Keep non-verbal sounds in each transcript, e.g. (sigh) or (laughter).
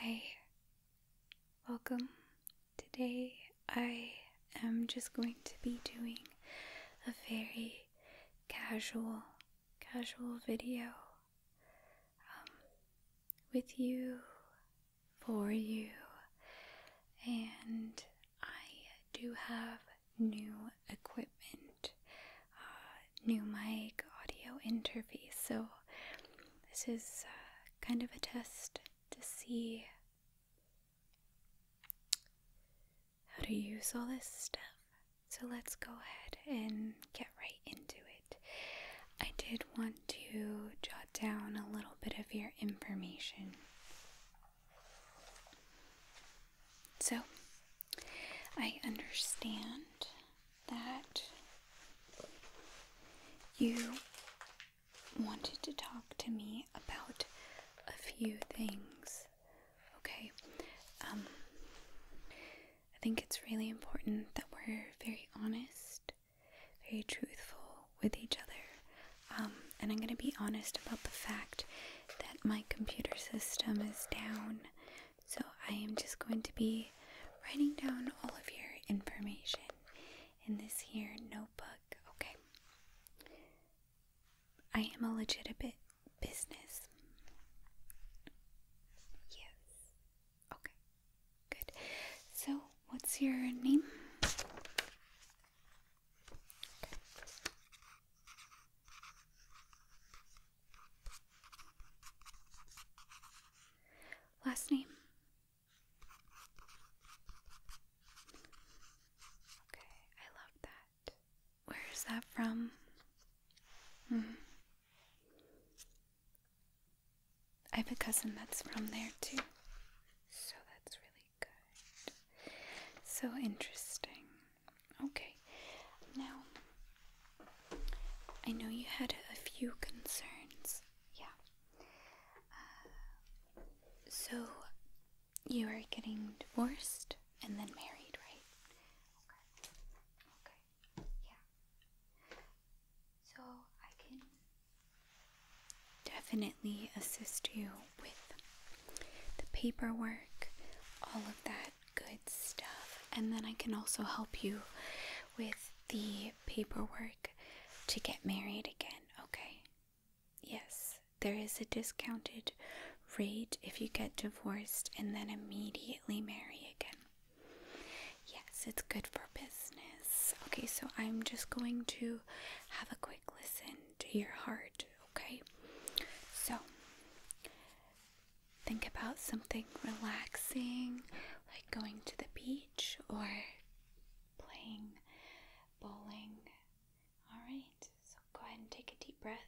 Hi, welcome. Today I am just going to be doing a very casual, casual video um, with you, for you, and I do have new equipment, uh, new mic, audio interface. So this is uh, kind of a test to see how to use all this stuff. So let's go ahead and get right into it. I did want to jot down a little bit of your information. So, I understand that you wanted to talk to me about a few things, okay? Um, I think it's really important that we're very honest, very truthful with each other um, and I'm going to be honest about the fact that my computer system is down. So I am just going to be writing down all of your information in this here notebook, okay? I am a legitimate business. Yes. Okay. Good. So, what's your name? Last name. Okay, I love that. Where is that from? Hmm. I have a cousin that's from there too, so that's really good. So interesting. Okay, now I know you had a few concerns. Yeah. Uh, so you are getting divorced and then married, right? Okay. Okay. Yeah. So I can assist you with the paperwork, all of that good stuff. And then I can also help you with the paperwork to get married again, okay? Yes, there is a discounted rate if you get divorced and then immediately marry again. Yes, it's good for business. Okay, so I'm just going to have a quick listen to your heart okay? So, think about something relaxing, like going to the beach or playing bowling. Alright, so go ahead and take a deep breath.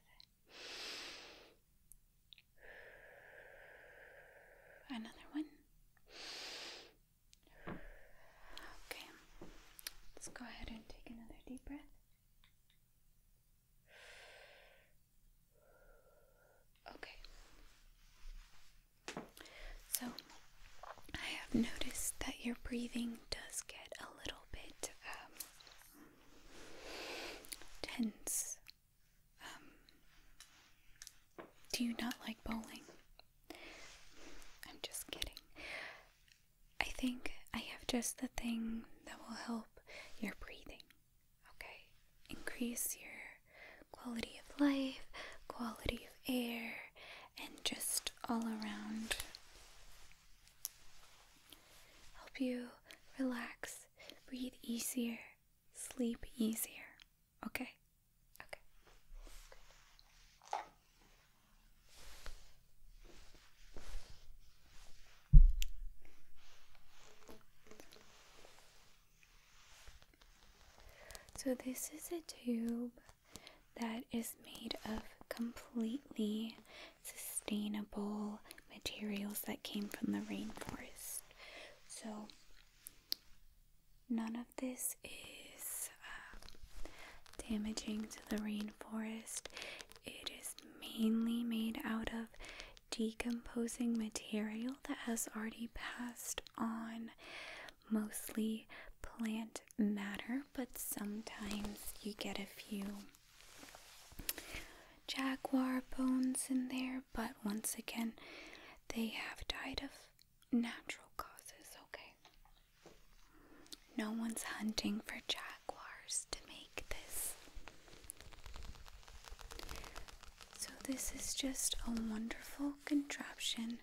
Another one. Okay, let's go ahead and take another deep breath. Okay. So, I have noticed that your breathing does get a little bit um, tense. Um, do you not like bowling? I'm just kidding. I think I have just the thing that will help your breathing. Okay? Increase your quality of life, quality of air, and just all around help you relax, breathe easier, sleep easier. Okay? Okay. So, this is a tube that is made of completely sustainable materials that came from the rainforest. So, none of this is uh, damaging to the rainforest. It is mainly made out of decomposing material that has already passed on, mostly plant matter, but sometimes you get a few jaguar bones in there, but once again, they have died of natural causes, okay? No one's hunting for jaguars to make this. So, this is just a wonderful contraption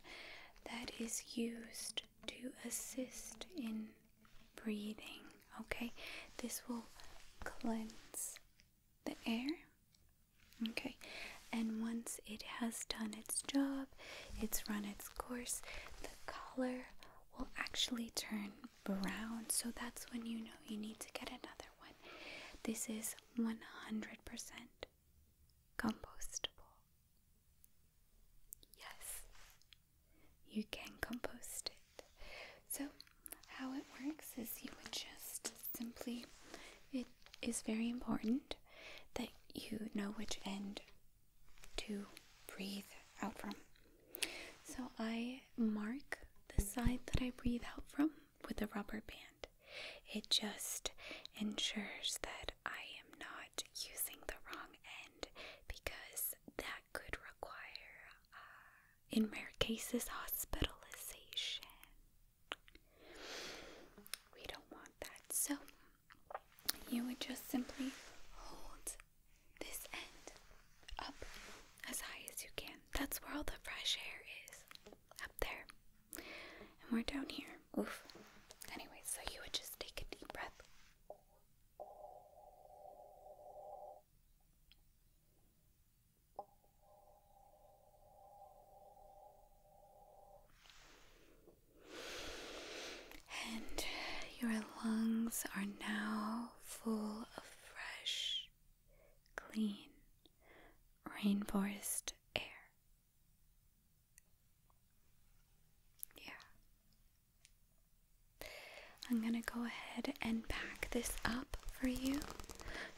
that is used to assist in breathing. Okay, this will cleanse the air. Okay, and once it has done its job, it's run its course, the color will actually turn brown. So that's when you know you need to get another one. This is 100% compostable. Yes, you can compost it. So, how it works is you would just simply, it is very important that you know which end to breathe out from. So I mark the side that I breathe out from with a rubber band. It just ensures that I am not using the wrong end because that could require, uh, in rare cases, hospitalization. We don't want that. So you would just simply hold this end up as high as you can. That's where all the fresh air is. Up there. And we're down here. Oof. Anyway, so you would just take a deep breath. And your lungs are now full of fresh, clean, rainforest air. Yeah. I'm going to go ahead and pack this up for you.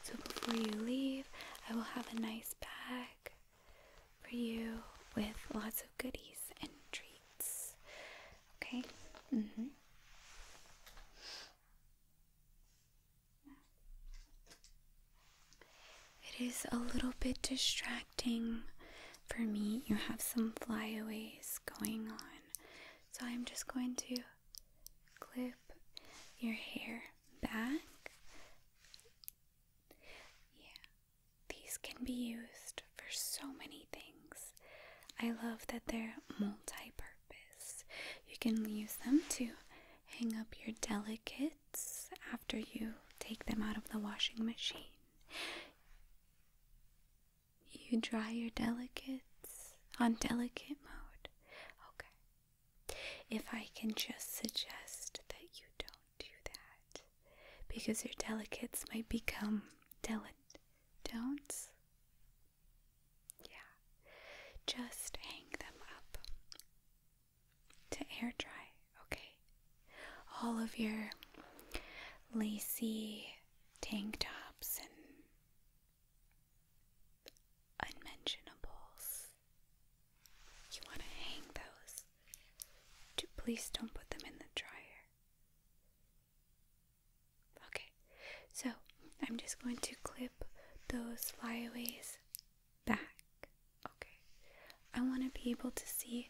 So before you leave, I will have a nice bag for you with lots of goodies and treats. Okay? Mm-hmm. It is a little bit distracting for me. You have some flyaways going on. So I'm just going to clip your hair back. Yeah. These can be used for so many things. I love that they're multi purpose. You can use them to hang up your delicates after you take them out of the washing machine. You dry your delicates on delicate mode. Okay. If I can just suggest that you don't do that, because your delicates might become dilettantes. Yeah, just hang them up to air dry, okay? All of your lacy tank tops and unmentionables you want to hang those. Do please don't put them in the dryer. Okay, so I'm just going to clip those flyaways back. Okay, I want to be able to see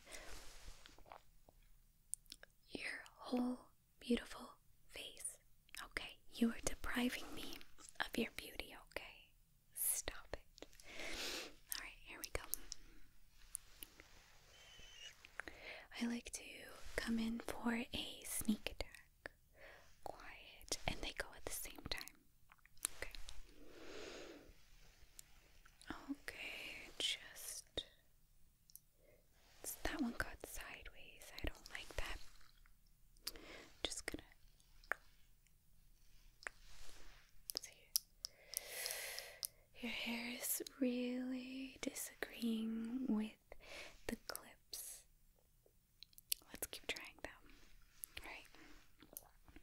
your whole beautiful face. Okay, you are depriving me of your beauty, okay? Stop it. Alright, here we go. I like to come in for a sneak attack. Quiet, and they go at the same time. Okay. Okay, just. that one got sideways. I don't like that. Just gonna your, hair is really disagreeing with the clips. Let's keep trying them. Alright.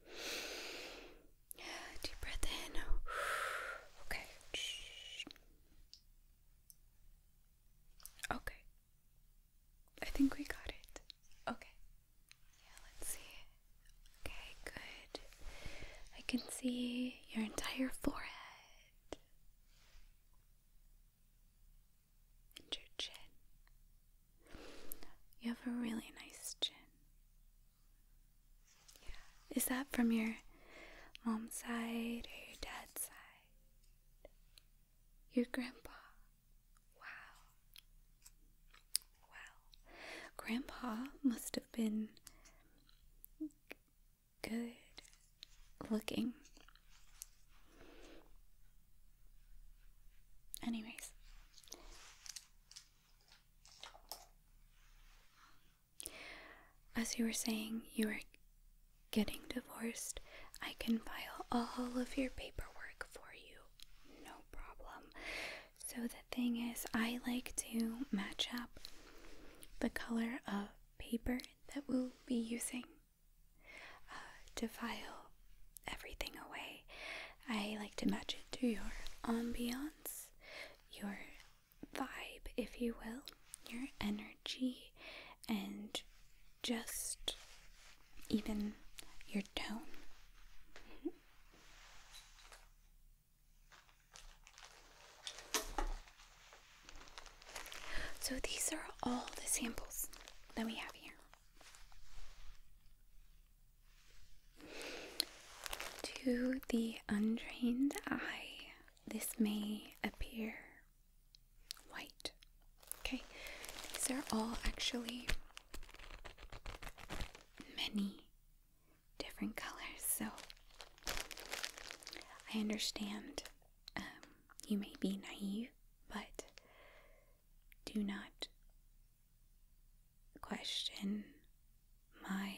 (sighs) Deep breath in. (sighs) Okay. Okay. I think we got it. Okay. Yeah, let's see. Okay, good. I can see your entire forehead and your chin. You have a really nice chin. Yeah. Is that from your mom's side or your dad's side? Your grandpa. Wow. Wow. Grandpa must have been good looking. Anyways. As you were saying, you are getting divorced. I can file all of your paperwork for you, no problem. So that thing is, I like to match up the color of paper that we'll be using uh, to file everything away. I like to match it to your ambiance, your vibe, if you will, your energy, and just even your tone. So these are all the samples that we have here. To the untrained eye, this may appear white. Okay, these are all actually many different colors, so I understand um, you may be naive, but do not question my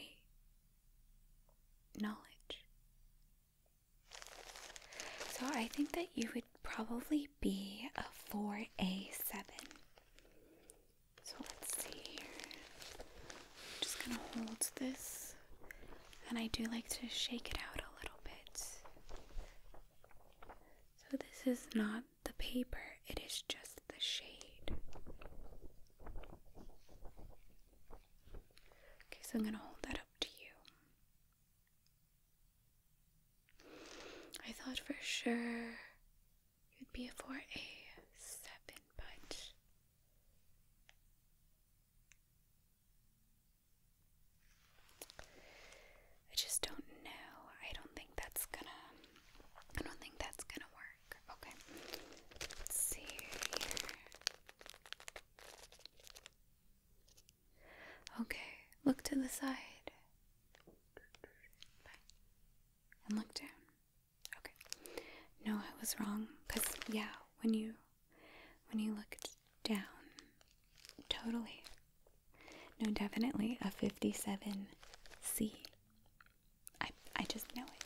knowledge. So I think that you would probably be a 4A7. So let's see here. I'm just gonna hold this, and I do like to shake it out a little bit. So this is not the paper, it is just the shade. Okay, so I'm gonna hold that up to you. I thought for sure you would be a four a seven punch. I just don't know. I don't think that's gonna. I don't think that's gonna work. Okay. see here. Okay, look to the side and look down. Okay. No, I was wrong. Cause yeah, when you when you looked down, totally. No, definitely a fifty-seven C. I I just know it.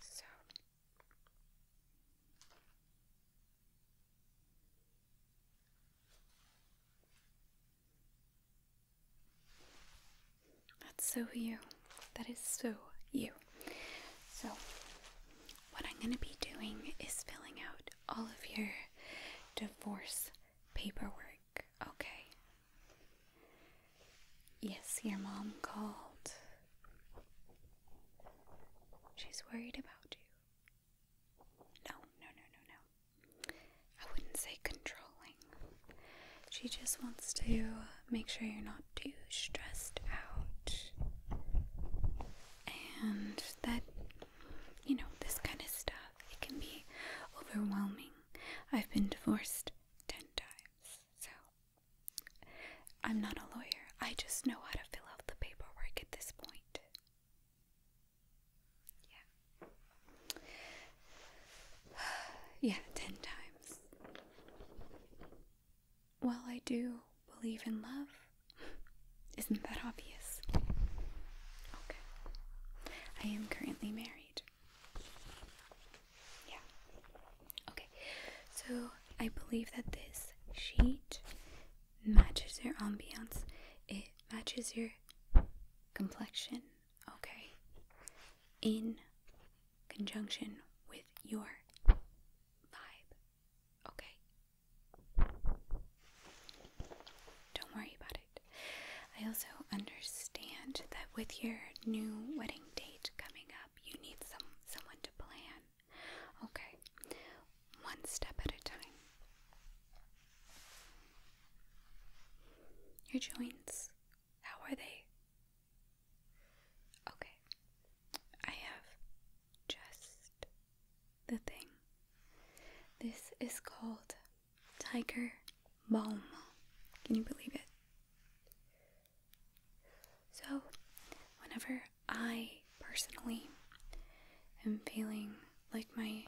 So that's so you. That is so you. So, what I'm going to be doing is filling out all of your divorce paperwork, okay? Yes, your mom called. She's worried about you. No, no, no, no, no. I wouldn't say controlling. She just wants to make sure you're not too stressed out. And that, you know, this kind of stuff, it can be overwhelming. I've been divorced 10 times, so I'm not a lawyer. I just know how to fill out the paperwork at this point. Yeah. (sighs) yeah, ten times. Well, I do believe in love. Isn't that obvious? Okay. I am currently married. Yeah. Okay. So I believe that this sheet matches your ambiance. It matches your complexion. Okay. In conjunction with your vibe. Okay. Don't worry about it. I also understand that with your new wedding date coming up, you need some someone to plan. Okay. One step at a time. Your joints, how are they? Okay. I have just the thing. This is called tiger balm. Can you believe it? So, whenever I personally am feeling like my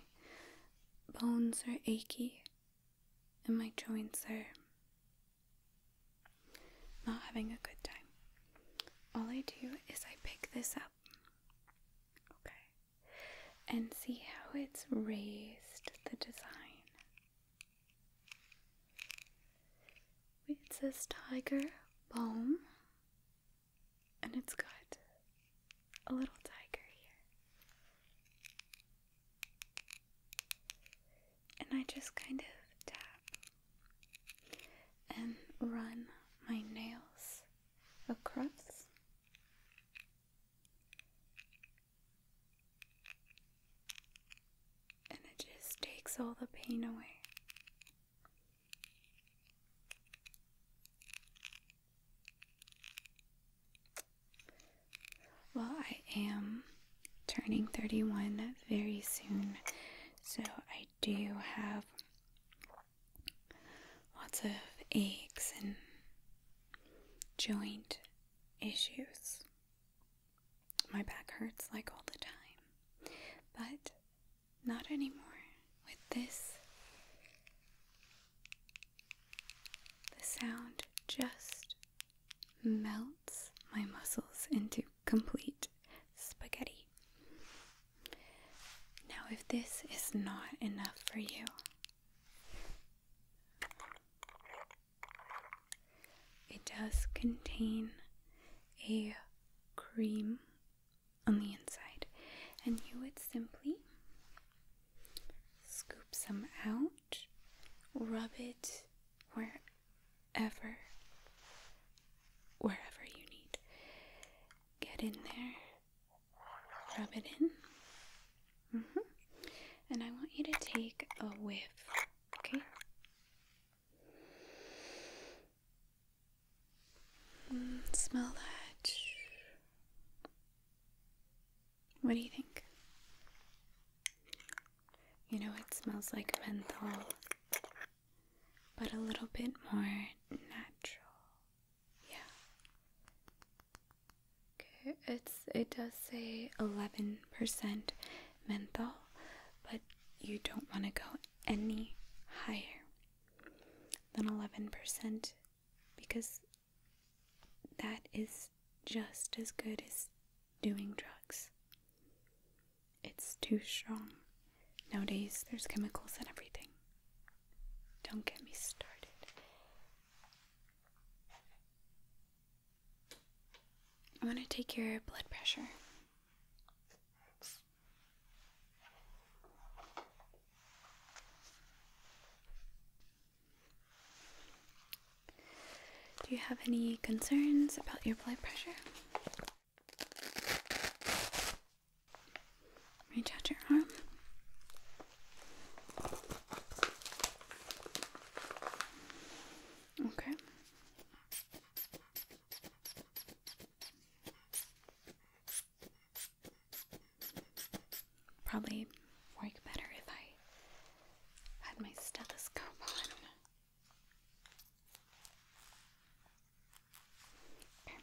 bones are achy and my joints are not having a good time, all I do is I pick this up, okay, and see how it's raised the design it says tiger balm, and it's got a little tiger here. And I just kind of tap and run my nails across and it just takes all the pain away. Well, I am turning 31 very soon, so I do have lots of aches and joint issues. My back hurts like all the time, but not anymore with this. The sound just melts my muscles into complete spaghetti. Now, if this is not enough for you, it does contain a cream on the inside, and you would simply scoop some out, rub it wherever, wherever you need. Get in there, rub it in, Mm -hmm. And I want you to take a whiff, okay? Mm, smell that. What do you think? You know, it smells like menthol, but a little bit more natural. Yeah. Okay, it's it does say 11% menthol, but you don't want to go any higher than 11% because that is just as good as doing drugs. It's too strong. Nowadays, there's chemicals and everything. Don't get me started i want to take your blood pressure. Do you have any concerns about your blood pressure? Reach out your arm. Okay. Probably work better if I had my stethoscope on. Okay.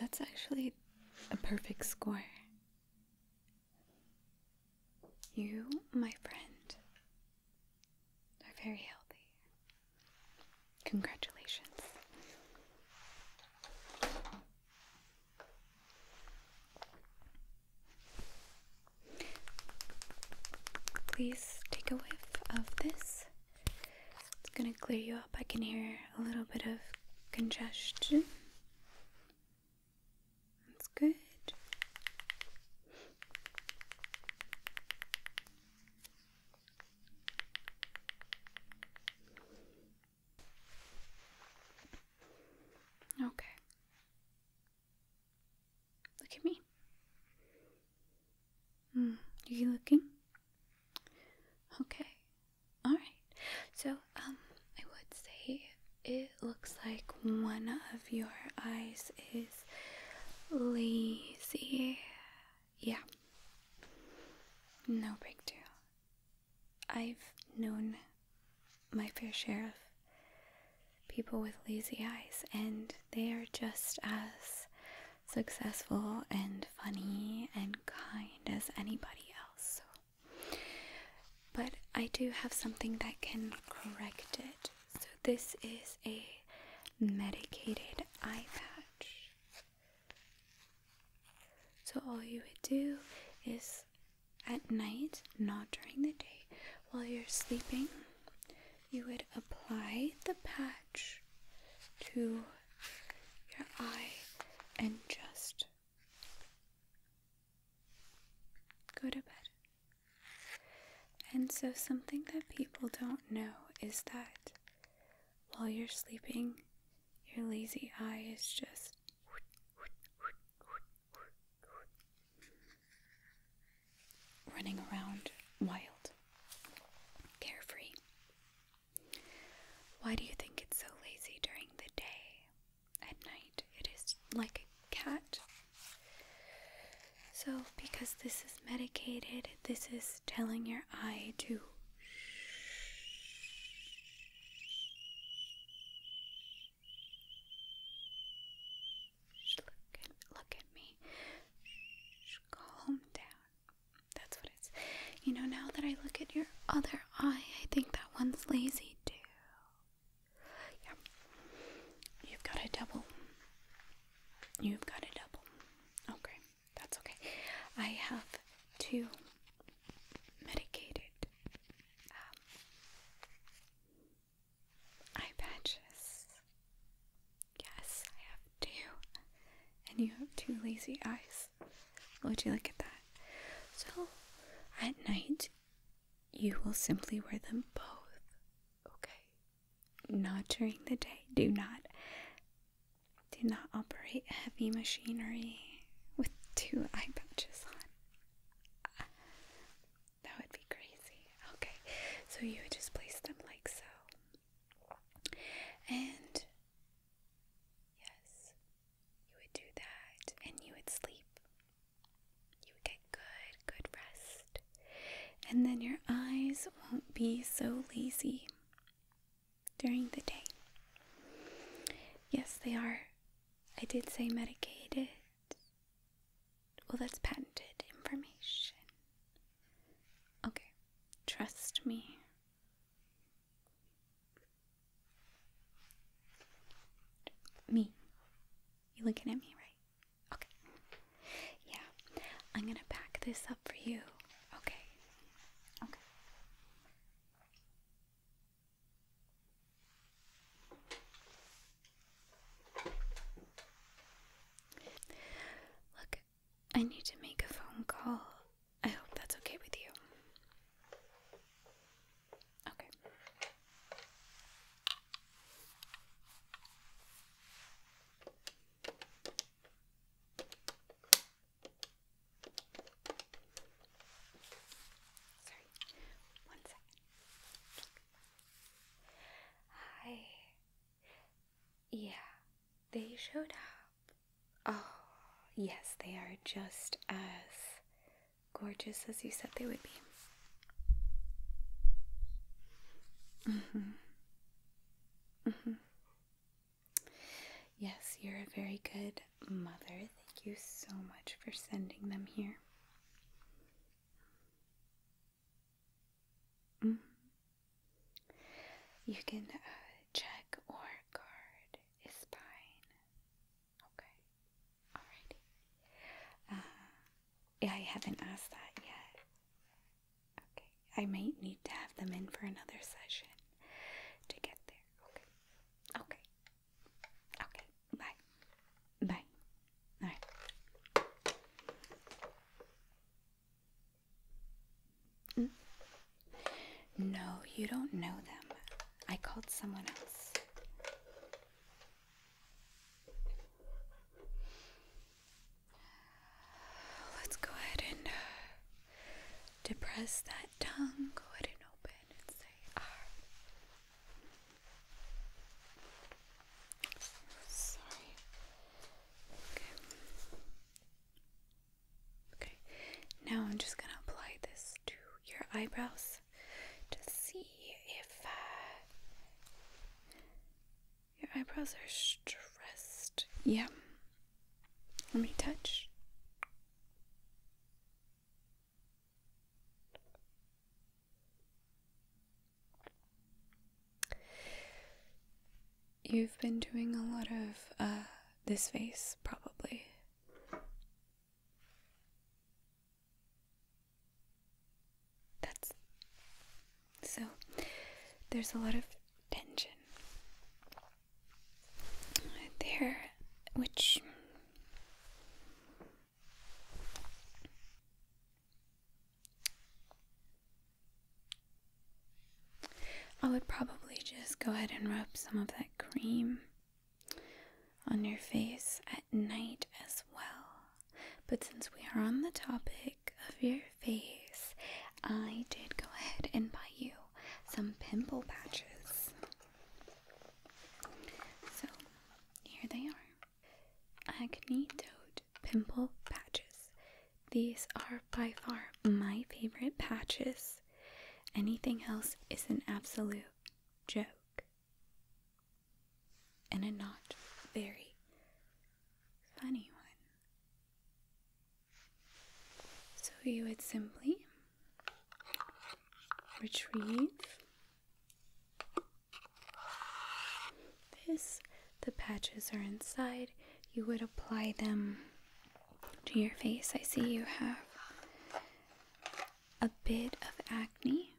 that's actually a perfect score. You, my friend, are very healthy. Congratulations. Please take a whiff of this. It's gonna clear you up. I can hear a little bit of congestion. That's good. Okay. Look at me. Hmm, are you looking? Okay. All right. So, um, I would say it looks like one of your eyes is lazy. Yeah. No big deal. I've known my fair share of people with lazy eyes, and they are just as successful and funny and kind as anybody else. But I do have something that can correct it. So, this is a medicated eye patch. So, all you would do is at night, not during the day, while you're sleeping, you would apply the patch to your eye and just go to bed. And so, something that people don't know is that while you're sleeping, your lazy eye is just running around wild, carefree. Why do you think it's so lazy during the day? At night, it is like a cat. So, because this is medicated, this is telling your eye to look at, me. calm down. That's what it's. You know, now that I look at your other eye, I think that one's lazy too. Yeah. You've got a double. You've got a double. Okay, that's okay. I have two medicated um, eye patches. Yes, I have two. And you have two lazy eyes. What do you look at that? So, at night, you will simply wear them both. Okay? Not during the day. Do not. Do not operate heavy machinery with two eye patches on. That would be crazy. Okay, so you would just place them like so. And yes, you would do that and you would sleep. You would get good, good rest. And then your eyes won't be so lazy during the day. Yes, they are. I did say medicated well, that's patented information. Okay, trust me. Me. You looking at me, right? Okay. Yeah, I'm gonna pack this up for you. Okay. Okay. Look, I need to make a phone call. I hope that's okay with you. Okay. Sorry, one second. Hi, yeah, they showed up. Oh, yes, they are just as gorgeous as you said they would be. Mm-hmm. Mm-hmm. Yes, you're a very good mother. Thank you so much for sending them here. Mm-hmm. You can uh, check or guard spine. Okay. Alrighty. Uh, yeah, I haven't asked that yet. Okay. I might need to have them in for another session to get there. Okay. Okay. Okay. Bye. Bye. Mm. No. you don't know them. I called someone else. Let's go ahead and uh, depress that tongue. Go ahead and open and say R ah, Sorry. Okay. Okay. Now I'm just gonna apply this to your eyebrows to see if uh, your eyebrows are stressed. Yeah. Let me touch. You've been doing a lot of uh, this face, probably. That's so, there's a lot of tension there, which I would probably just go ahead and rub some of that cream on your face at night as well. But since we are on the topic of your face, I did go ahead and buy you some pimple patches. So here they are. Acne dot Pimple Patches. These are by far my favorite patches. Anything else is an absolute joke. And a not very funny one. So you would simply retrieve this, the patches are inside. You would apply them to your face. I see you have a bit of acne.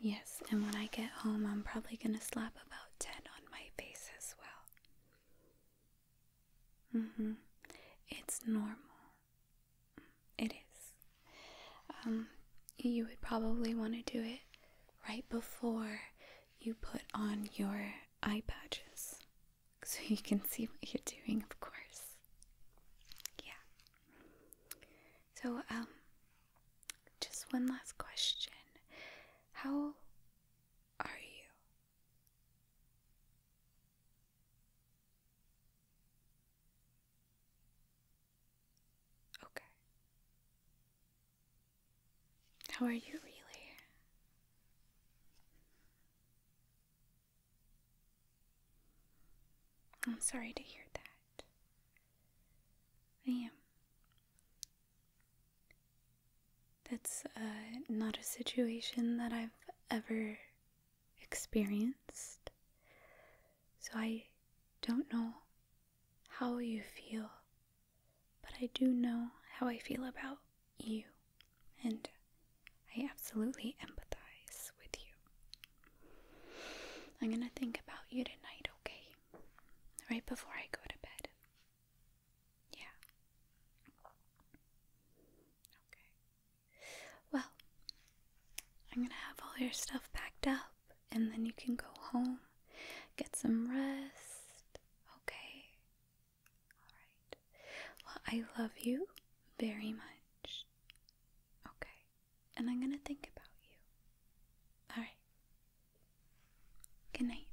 Yes, and when I get home, I'm probably going to slap about 10 on my face as well. hmm. It's normal. It is. Um, you would probably want to do it right before you put on your eye patches (laughs) so you can see what you're doing, of course. Yeah. So, um, just one last question. How are you? Okay. How are you, really? I'm sorry to hear that. I am. That's uh, not a situation that I've ever experienced. So I don't know how you feel, but I do know how I feel about you, and I absolutely empathize with you. I'm gonna think about you tonight, okay? Right before I go to bed. Yeah. Okay. Well, I'm gonna have all your stuff packed up and then you can go home, get some rest. Okay. Alright. Well, I love you very much. Okay. And I'm gonna think about you. Alright. Good night.